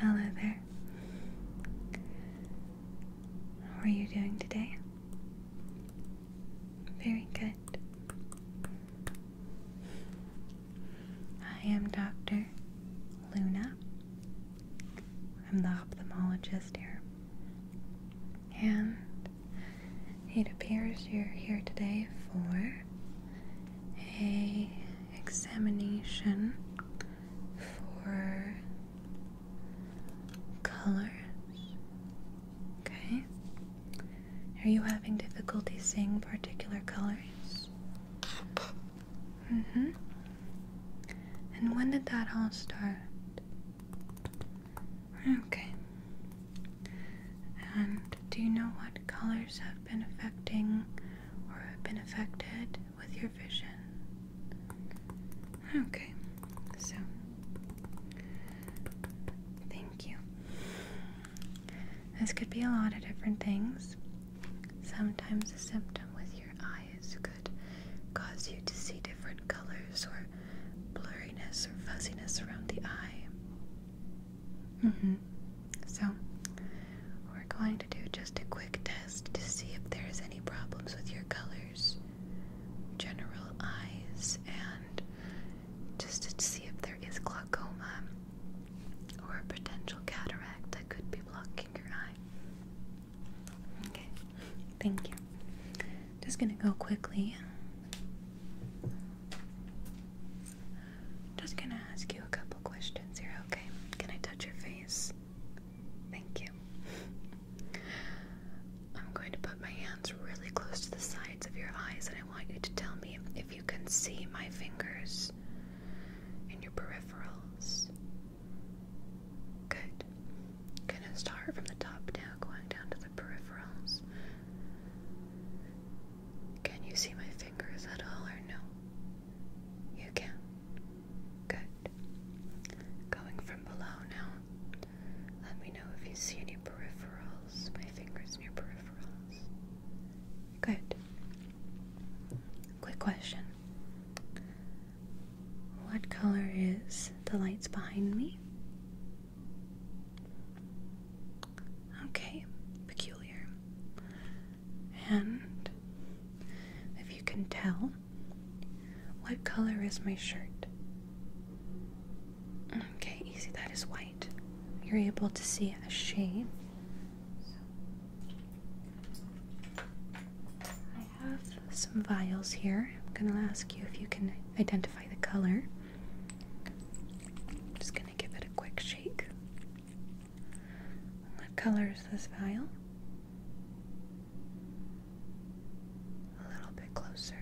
Hello there. How are you doing today? Very good. I am Dr. Luna. I'm the ophthalmologist here. And it appears you're here today for a examination for color. Okay. Are you having difficulty seeing particular colors? Mm-hmm. And when did that all start? Okay. And do you know what colors have been affecting or have been affected with your vision? Okay, so thank you. This could be a lot of different things. Sometimes a symptom with your eyes could cause you to see different colors or blurriness or fuzziness around the eye. Mm-hmm. So we're going to do just a quick test to see if there's any problems with your colors, general eyes, and just to see if there is glaucoma or a potential cataract that could be blocking your eye. Okay, thank you. Just gonna go quickly. Just gonna ask you a couple questions here, okay? Can I touch your face? Thank you. I'm going to put my hands really close to the sides of your eyes, and I want you to tell me if you can see my fingers in your peripherals. Good. Gonna start from the top now, going down to the peripherals. Can you see my fingers at all or no? You can. Good. Going from below now. Let me know if you see any peripherals. My fingers near peripherals. Good. Quick question. What color is the lights behind me? Okay, peculiar. And if you can tell, what color is my shirt? Okay, easy, that is white. You're able to see a shade. I have some vials here. I'm going to ask you if you can identify the color just gonna give it a quick shake. What color is this vial? A little bit closer.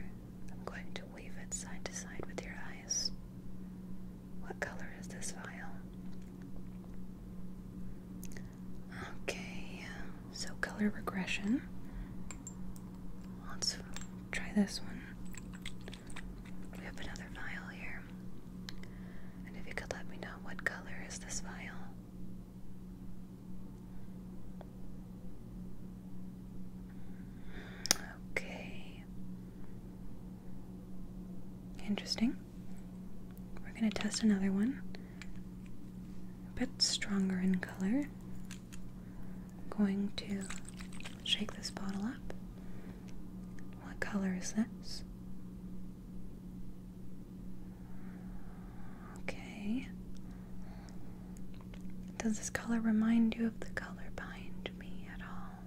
I'm going to wave it side to side with your eyes. What color is this vial? Okay, so color regression. Let's try this one. We have another vial here. And if you could let me know what color is this vial? Okay. Interesting. We're going to test another one. A bit stronger in color. I'm going to shake this bottle up. What color is this? Okay. Does this color remind you of the color behind me at all?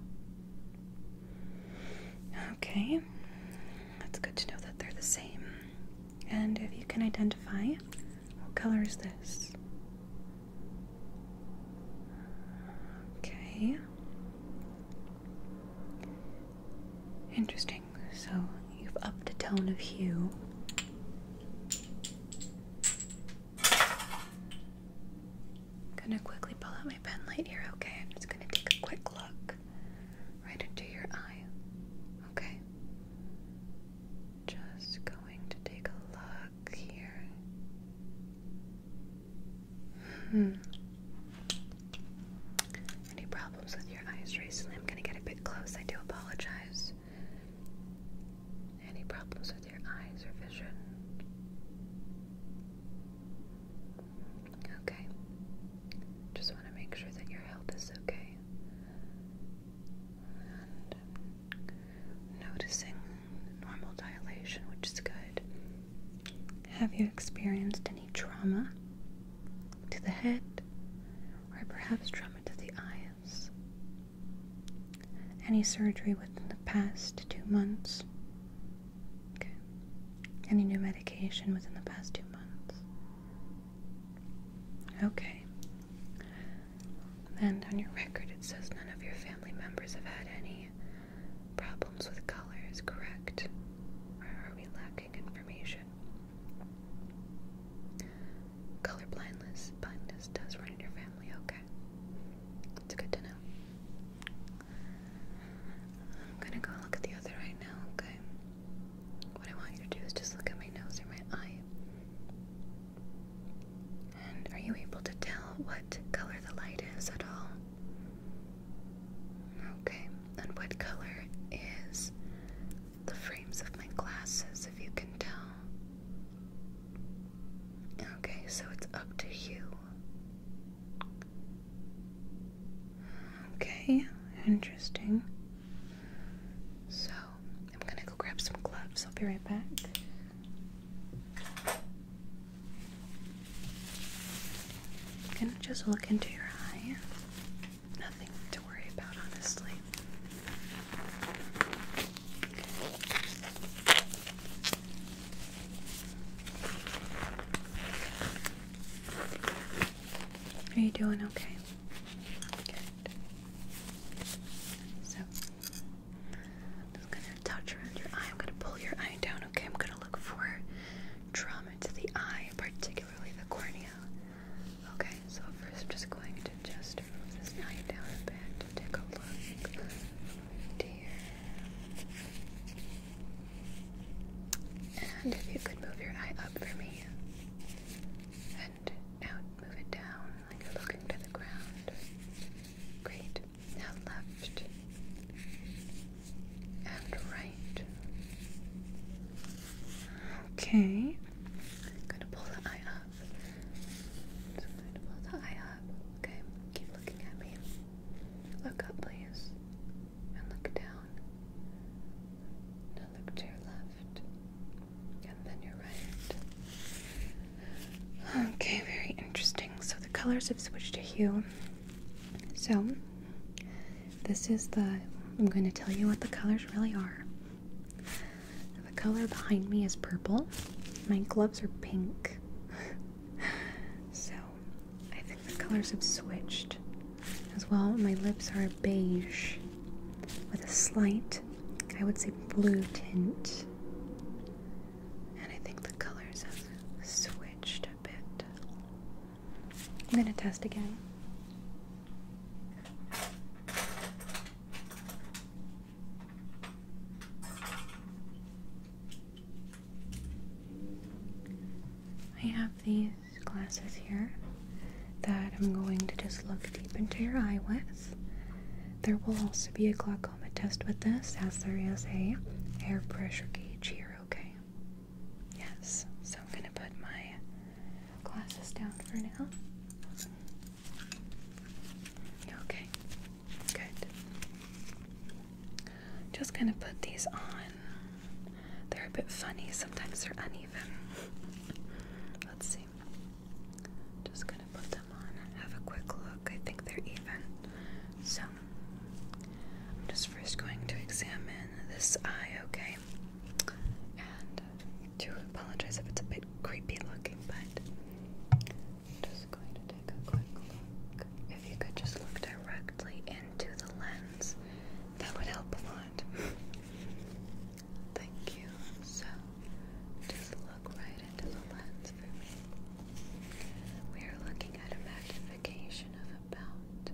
Okay. That's good to know that they're the same. And if you can identify what color is this? Okay. Interesting. So you've upped the tone of hue. gonna quickly pull out my pen light here, okay? I'm just gonna take a quick look right into your eye. Okay. Just going to take a here. Hmm. Any problems with your eyes recently? I'm going to get a bit close. I do apologize. Any problems with your eyes or vision? Okay. Just want to make sure that your health is okay noticing normal dilation, which is good. Have you experienced any trauma to the head or perhaps trauma to the eyes? Any surgery within the past two months? Okay. Any new medication within the past two months? Okay, and on your record, it says none of your family members have had any problems with colors, correct? Or are we lacking information? Color blindness, blindness does run in your family, okay. It's good to know. I'm gonna go look at the other right now, okay? What I want you to do is just look at my nose or my eye. And are you able to tell what color the light is at all? Okay, and what color is the frames of my glasses, if you can tell? Okay, so it's up to you. Okay, interesting. So, I'm gonna go grab some gloves. I'll be right back. I'm gonna just look into your eye. Nothing to worry about, honestly. Are you doing okay? So just gonna touch around your eye. I'm gonna pull your eye down, okay? I'm gonna look for trauma to the eye, particularly the cornea. Okay, so first I'm just going to just move this eye down a bit to take a look. here. And if you could move your eye up for me out, move it down like looking to the ground. Great. Now left and right. Okay. going to pull the eye up. going to pull the eye up. Okay. Keep looking at me. Look up, please. And look down. Now look to your left. Okay, very interesting. So the colors have switched to hue. So this is the. I'm going to tell you what the colors really are. The color behind me is purple. My gloves are pink. so I think the colors have switched as well. My lips are beige with a slight, I would say, blue tint. And I think the colors have switched a bit. I'm going to test again. I have these glasses here that I'm going to just look deep into your eye with. There will also be a glaucoma test with this, as there is a air pressure gauge here, okay? Yes, so I'm going to put my glasses down for now. Okay, good. Just going to put these on. They're a bit funny, sometimes they're uneven. Let's see. Just gonna put them on, have a quick look. I think they're even. So, I'm just first going to examine this eye, okay? And to uh, apologize if it's a bit creepy looking, but just going to take a quick look. If you could just look directly into the lens, that would help a lot. Thank you. So, just look right into the lens for me. We are looking at a magnification of about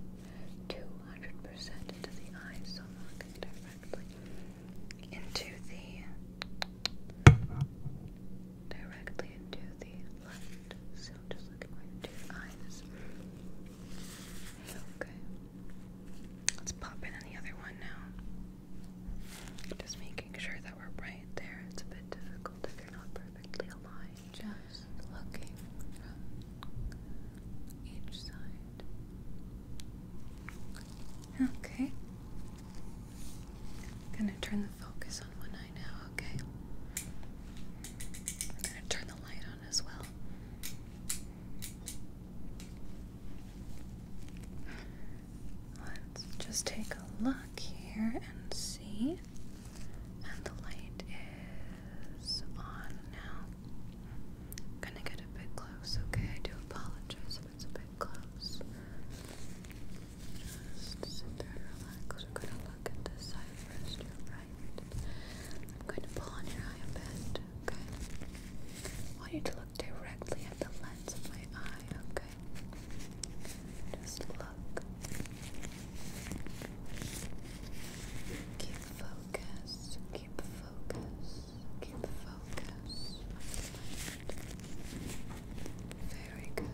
200% into the eye, so i directly into the directly into the left. So just looking right into eyes. Okay. Let's pop in the other one now. Just making sure that we're right there. It's a bit difficult if you're not perfectly aligned. Just looking from each side. Okay. I'm gonna turn the focus on one eye now, okay? I'm gonna turn the light on as well. Let's just take a look here and see. And the light is on now. gonna get a bit close, okay? I do apologize if it's a bit close. Just sit there and relax. We're gonna look at this side 1st right. I'm going to pull on your eye a bit okay? I want you to look directly at the lens of my eye, okay? Just look. Keep focus, keep focus, keep focus. Very good.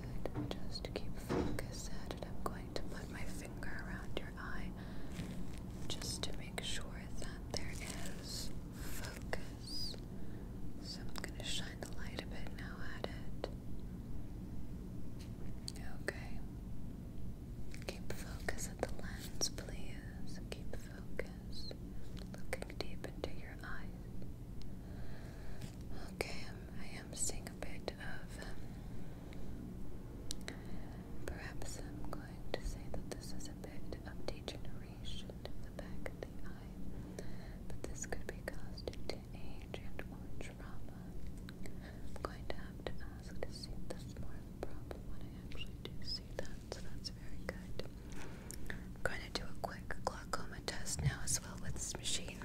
Just keep focus at I'm going to put my finger around your eye just to make sure that there is focus. So I'm going to shine the light a bit now at it. Okay. Keep focus at the lens, please. Keep focus. Looking deep into your eyes. Okay, I'm, um, seeing a bit of. Um, perhaps I'm going to say that this is a bit of degeneration deterioration the back of the eye, but this could be caused due age and or trauma. I'm going to have to ask to see this more problem when I actually do see that, so that's very good. going to do a quick glaucoma test now as well with this machine.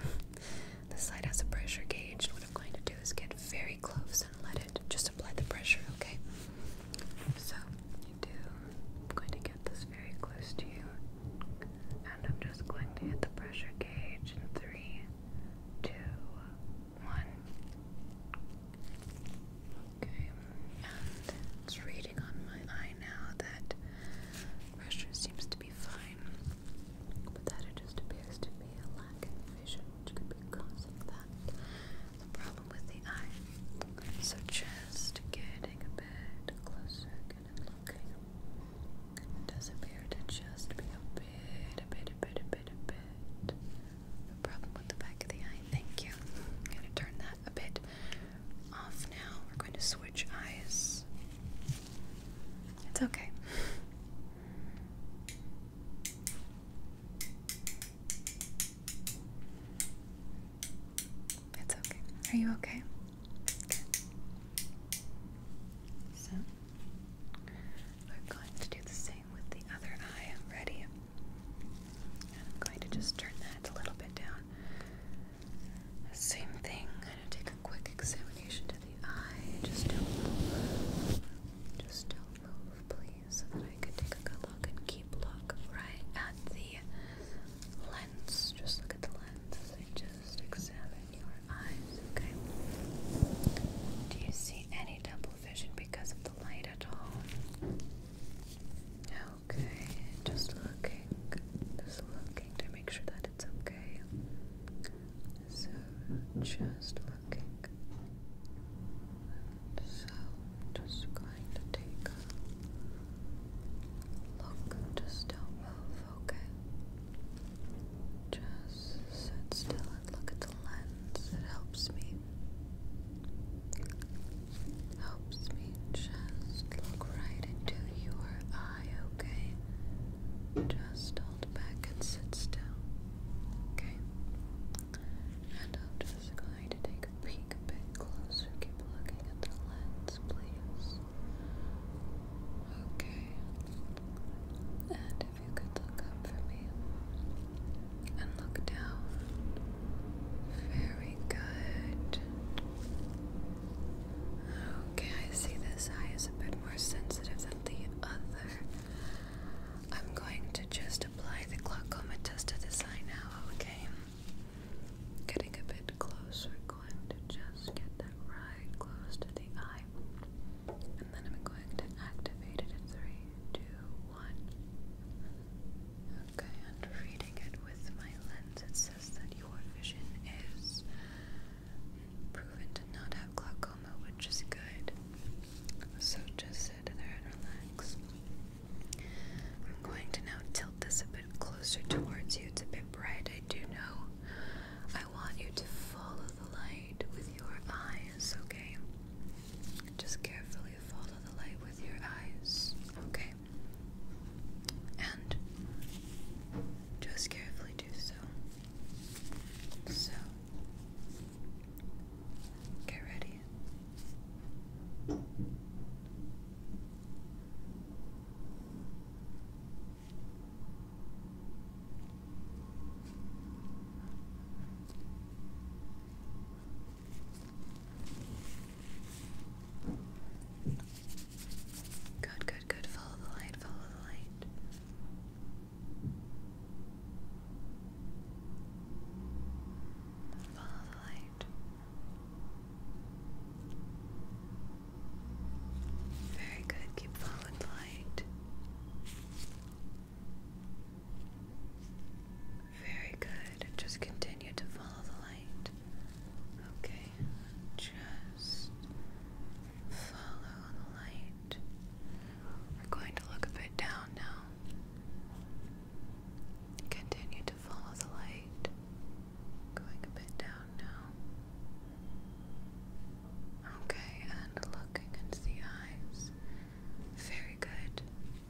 This light has a pressure gauge, and what I'm going to do is get very close and let it just apply the pressure, okay? So, I'm going to get this very close to you. And I'm just going to hit the pressure gauge in three, two, one. Okay, and it's reading on my eye now that pressure seems to be fine, but that it just appears to be a lack of vision, which could be causing that the problem with the eye. So just getting a bit closer, and looking. It does appear to just be a bit, a bit, a bit, a bit, a bit. The problem with the back of the eye. Thank you. I'm gonna turn that a bit off now. We're going to switch eyes. It's okay. It's okay. Are you okay? So, we're going to do the same with the other eye. Ready? I'm going to just turn that a little bit down. same thing. I'm going to take a quick examination to the eye. Just don't Just don't move, please so that I could take a good look and keep look right at the lens. Just look at the lens and just examine your eyes, okay? Do you see any double vision because of the light at all? Okay, just looking, just looking to make sure that it's okay. So, just looking. So just going to take a look. Just don't move, okay? Just sit still and look at the lens. It helps me. Helps me just look right into your eye, okay? Just hold back and sit still. Okay. And after this, I'm going to take a peek a bit closer. Keep looking at the lens, please. Okay. And if you could look up for me and look down. Very good. Okay, I see this eye is a bit more sensitive than the other. I'm going to just apply the glaucoma test to this eye now, okay? Getting a bit close, going to just get that right close to the eye. And then I'm going to activate it in three, two, one. Okay, and reading it with my lens, it says that your vision is proven to not have glaucoma, which is good. So just sit there and relax. I'm going to now tilt this a bit closer towards you. It's a bit bright, I do know. I want you to follow the light with your eyes, okay? Just carefully follow the light with your eyes, okay? And just carefully do so. So, get ready. Good, good, good. Follow the light, follow the light. Follow very good, keep following the light. Very good, just continue to follow the light. Okay, just follow the light. We're going to look a bit down now. Continue to follow the light. Going a bit down now. Okay, and looking into the eyes. Very good.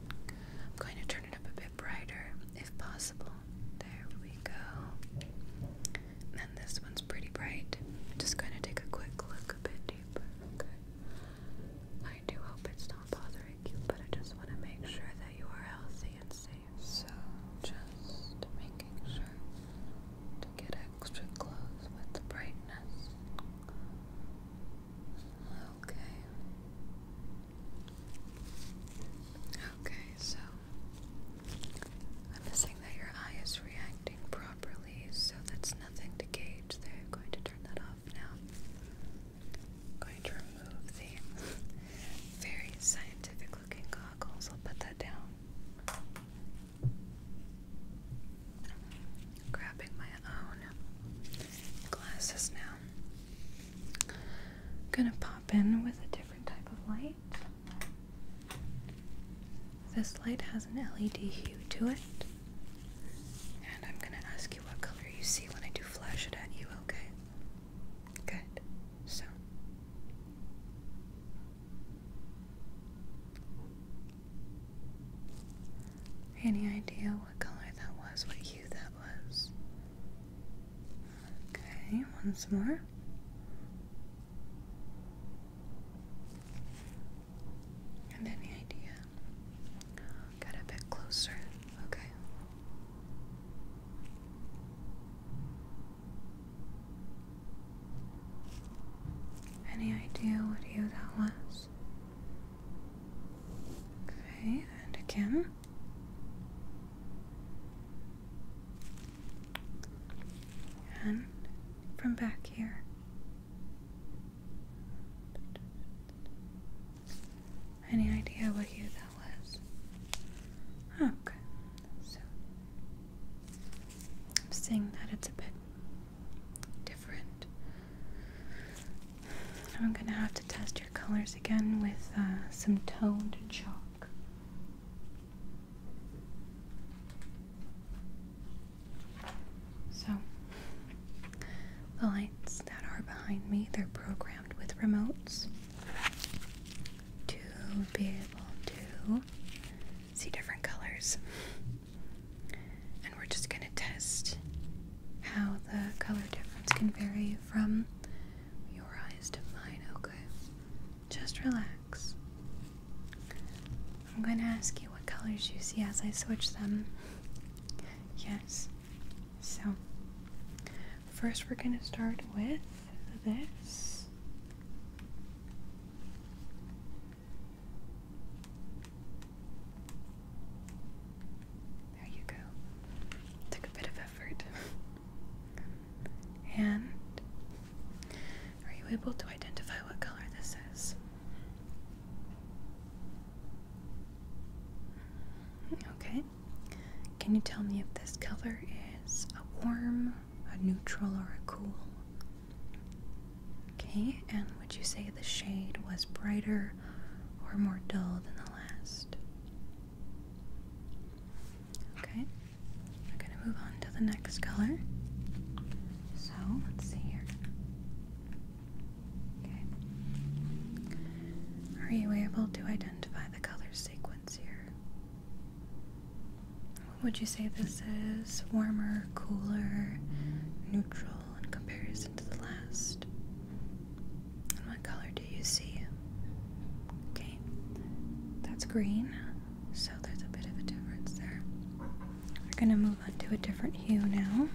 I'm going to turn it up a bit brighter if possible. There we go. And this one's pretty bright. just going to take a quick look a bit deeper. Okay. I do hope it's not bothering you, but I just want to make sure that you are healthy and safe. So, just making sure to get extra close with the brightness. Okay. Okay, so I'm assuming that your eye is reacting properly, so that's nothing to gauge there. i going to turn that off now. I'm going to remove the very scientific looking goggles. I'll put that down. grabbing my own glasses now. gonna pop in with a different type of light. This light has an LED hue to it. And I'm going to ask you what color you see when I do flash it at you, okay? Good. So. Any idea what color that was, what hue that was? Okay, once more. And any idea? Get a bit closer, okay. Any idea what you that was? Okay, and again. And from back here. Any idea what hue that was? Oh, okay, so I'm seeing that it's a bit different. I'm gonna have to test your colors again with uh, some toned chalk. So, the lights that are behind me, they're programmed with remotes to be able to see different colors. And we're just going to test how the color difference can vary from your eyes to mine, okay? Just relax. I'm going to ask you what colors you see as I switch them. Yes, so, first we're going to start with this. There you go. Took a bit of effort. and are you able to identify what color this is? Okay. Can you tell me if this color is a warm, a neutral, or a cool? Okay, and would you say the shade was brighter or more dull than the last? Okay, we're going to move on to the next color. So, let's see here. Are you able to identify the color sequence here? Would you say this is warmer, cooler, neutral in comparison to the last? And what color do you see? Okay, that's green, so there's a bit of a difference there. We're going to move on to a different hue now.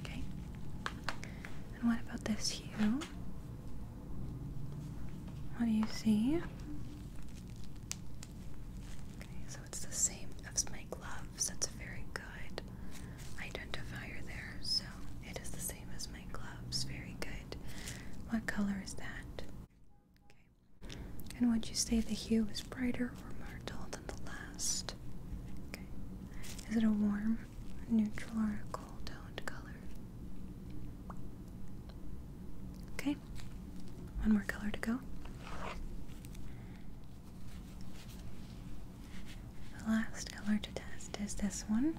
Okay. And what about this hue? What do you see? Okay, so it's the same as my gloves. That's a very good identifier there. So it is the same as my gloves. Very good. What color is that? Okay. And would you say the hue is brighter or more dull than the last? Okay. Is it a warm, neutral, or a cold toned color? Okay. One more color to go. The last color to test is this one.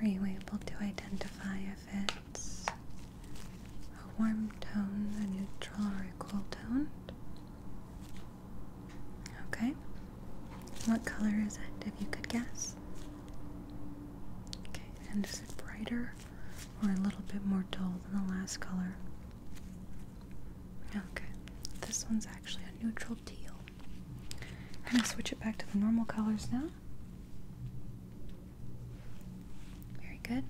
Are you able to identify if it tones. A warm tone, a neutral or a cool tone. Okay. What color is it if you could guess? Okay, and is it brighter or a little bit more dull than the last color? Okay. This one's actually a neutral teal. I'm gonna switch it back to the normal colors now. Very good.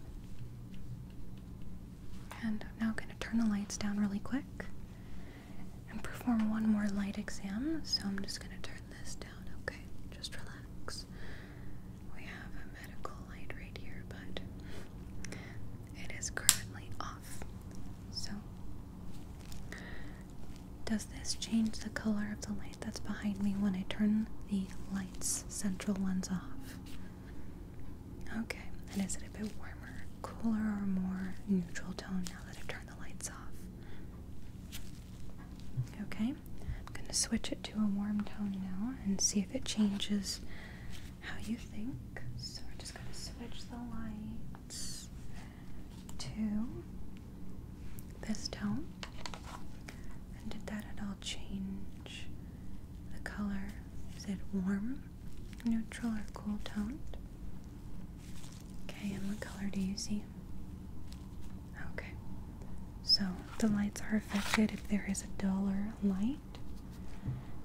And I'm now going to turn the lights down really quick and perform one more light exam. So I'm just going to turn this down, okay? Just relax. We have a medical light right here, but it is currently off. So does this change the color of the light that's behind me when I turn the lights, central ones off? Okay, and is it a bit warmer, cooler, or more neutral tone now that I've turned the lights off? Okay, I'm going to switch it to a warm tone now and see if it changes how you think. So we're just going to switch the lights to this tone? And did that at all change the color? Is it warm, neutral, or cool toned? Okay, and what color do you see? Okay, so the lights are affected if there is a duller light.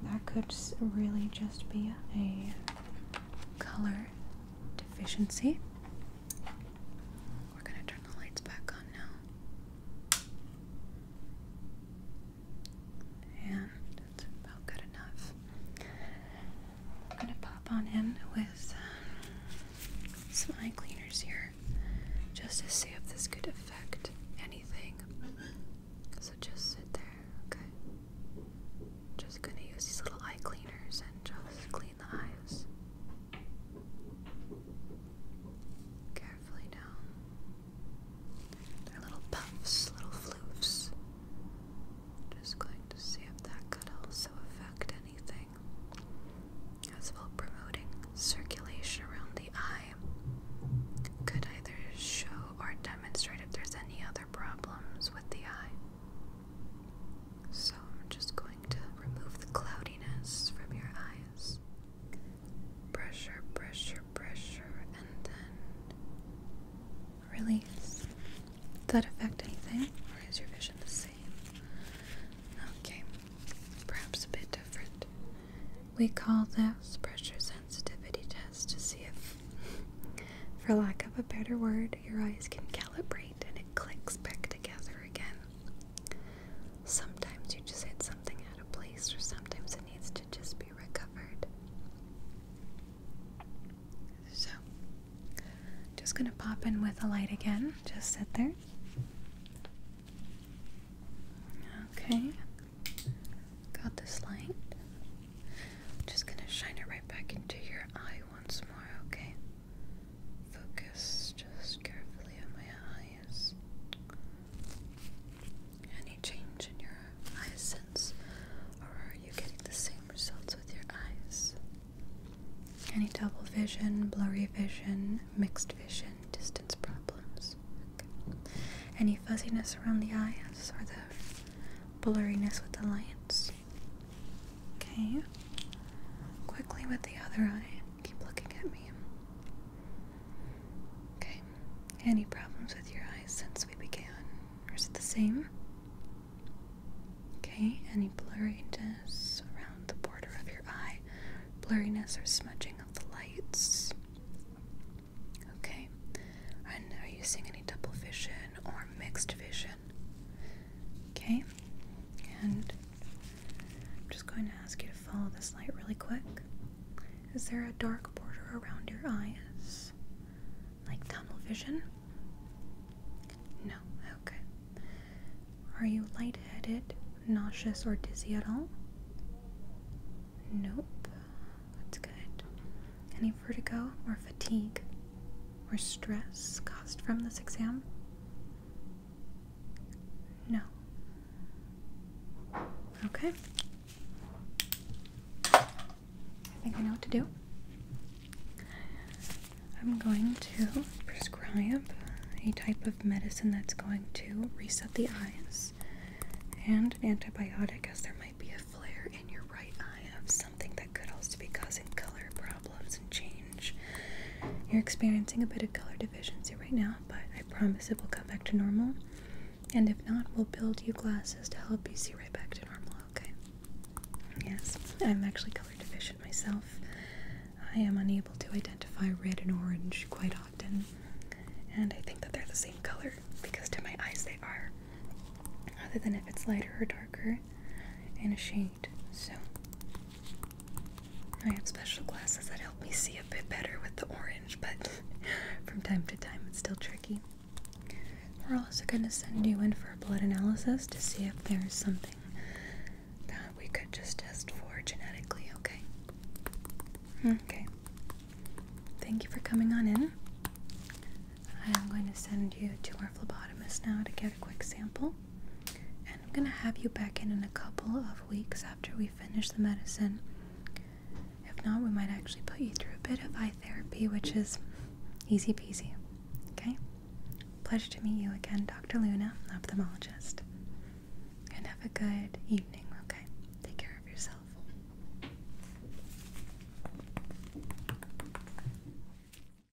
That could really just be a color deficiency. We're gonna turn the lights back on now. And that's about good enough. I'm gonna pop on in with um, some eye cleaners here just to see if this could affect anything. So just sit there, okay? Just gonna use these little eye cleaners and just clean clean the eyes. Carefully down. They're little puffs, little floofs. Just going to see if that could also affect anything. As well, promoting circulation around the eye could either show or demonstrate if there's any other problems with the eye. So I'm just going to remove the cloudiness from your eyes. Pressure, pressure, pressure, and then release. Did that affect anything? Or is your vision the same? Okay, perhaps a bit different. We call this pressure sensitivity test to see if, for lack of a better word, your eyes can calibrate and it clicks back together again Sometimes you just hit something out of place, or sometimes it needs to just be recovered. So, just gonna pop in with a light again. Just sit there. Okay, got this light. just gonna shine it right back into your eye once more, okay? Focus just carefully on my eyes. Any change in your eye sense, or are you getting the same results with your eyes? Any double vision, blurry vision, mixed vision, distance problems? Any fuzziness around the eyes, or the blurriness with the lights? Okay. Quickly with the other eye. Keep looking at me. Okay. Any problems with your eyes since we began? Or is it the same? Okay. Any blurriness around the border of your eye? Blurriness or smudging of the lights? Okay. are you seeing any double vision or mixed vision Okay? And I'm just going to ask you to follow this light really quick. Is there a dark border around your eyes? Like tunnel vision? No, okay. Are you lightheaded, nauseous, or dizzy at all? Nope. That's good. Any vertigo or fatigue? or stress caused from this exam? No. Okay. I think I know what to do. I'm going to prescribe a type of medicine that's going to reset the eyes and an antibiotic as there might be a flare in your right eye something that could also be causing color problems and change. You're experiencing a bit of color deficiency right now, but I promise it will come back to normal. And if not, we'll build you glasses to help you see right back to normal, okay? Yes, I'm actually color deficient myself. I am unable to identify red and orange quite often. And I think that they're the same color because to my eyes they are. Other than if it's lighter or darker in a shade so I have special glasses that help me see a bit better with the orange, but from time to time it's still tricky. We're also going to send you in for a blood analysis to see if there's something that we could just test for genetically, okay? Okay. Thank you for coming on in. I'm going to send you to our phlebotomist now to get a quick sample. And I'm going to have you back in in a couple of weeks after we finish the medicine. If not, we might actually put you through a bit of eye therapy, which is easy peasy. Okay? Pleasure to meet you again, Dr. Luna, ophthalmologist. And have a good evening, okay? Take care of yourself.